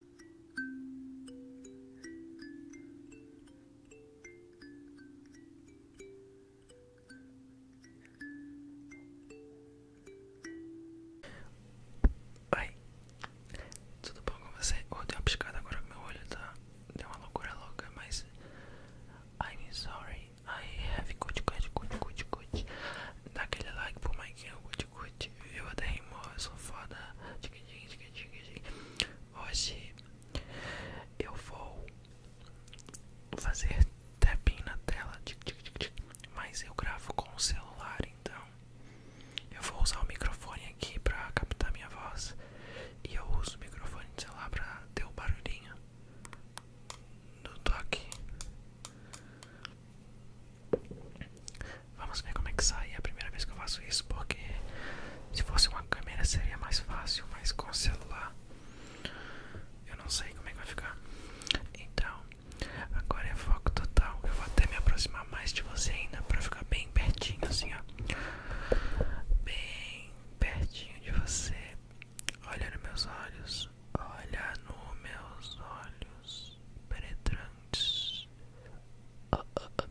Oi, tudo bom com você? Oh, deu uma piscada agora que meu olho tá. Deu uma loucura louca, mas. I'm sorry, I have good, good, good, good, good. Dá aquele like por mais que eu é good, eu curte. moço foda rimo, eu sou foda. Hoje eu vou fazer tapinha na tela, mas eu gravo com o celular, então eu vou usar o microfone aqui pra captar minha voz e eu uso o microfone de celular pra ter o um barulhinho do toque. Vamos ver como é que sai. É a primeira vez que eu faço isso, porque se fosse uma câmera seria mais fácil, mas com celular eu não sei como é que vai ficar. Então, agora é foco total. Eu vou até me aproximar mais de você ainda para ficar bem pertinho, assim, ó. Bem pertinho de você. Olha nos meus olhos. Olha nos meus olhos penetrantes. Ah, ah, ah.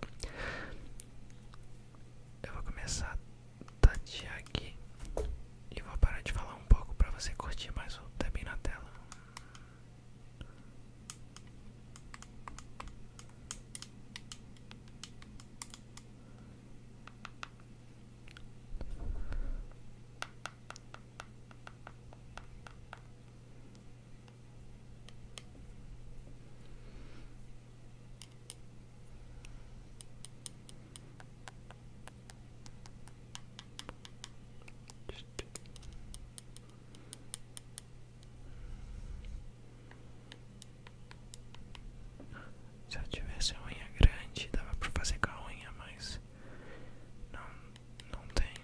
Eu vou começar a tatear aqui e vou parar de falar um pouco para você curtir mais o tapping na tela. Se eu tivesse a unha grande, dava pra fazer com a unha, mas não não tenho.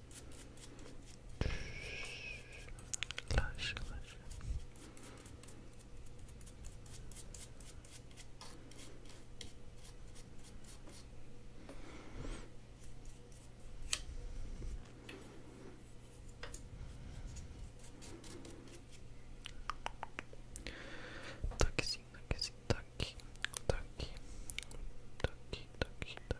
Relaxa, relaxa. Toquezinho, toquezinho, toque, toque, toque, toque, toque.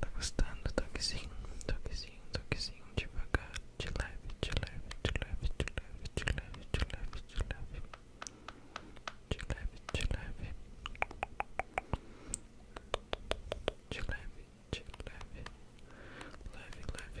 Tá gostando? Tô que sim, tô que sim, tô que sim, devagar, de leve, de leve, de leve, de leve, de leve, de leve, de leve, de leve, de leve, de leve, de leve, leve, leve, leve, leve,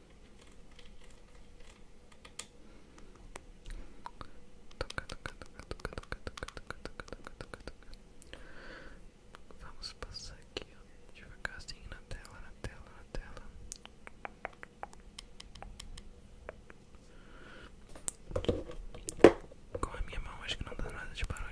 Vamos passar aqui, ó, devagarzinho na tela, na tela, na tela. Com a minha mão acho que não dá nada de barulho.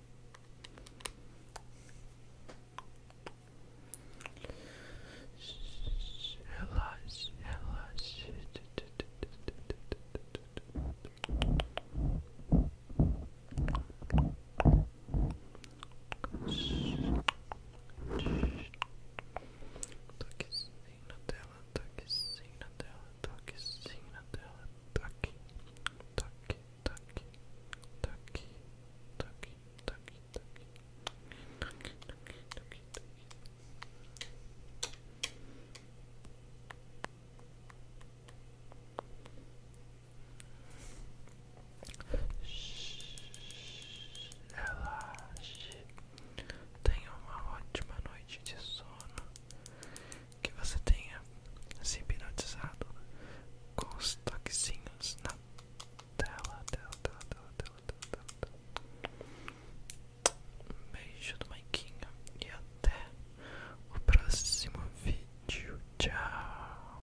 Relaxe, relaxe. Toque sim na tela, toque sim na tela, toque sim na tela, toque, tá toque, tá toque, tá toque, toque, toque, toque, toque, toque, toque, toque. Relaxe. Tenha uma ótima noite de sono que você tenha se hipnotizado com os toquezinhos na tela, tela, tela, tela, tela, tela, beijo do Maiquinho e até o próximo vídeo. Tchau!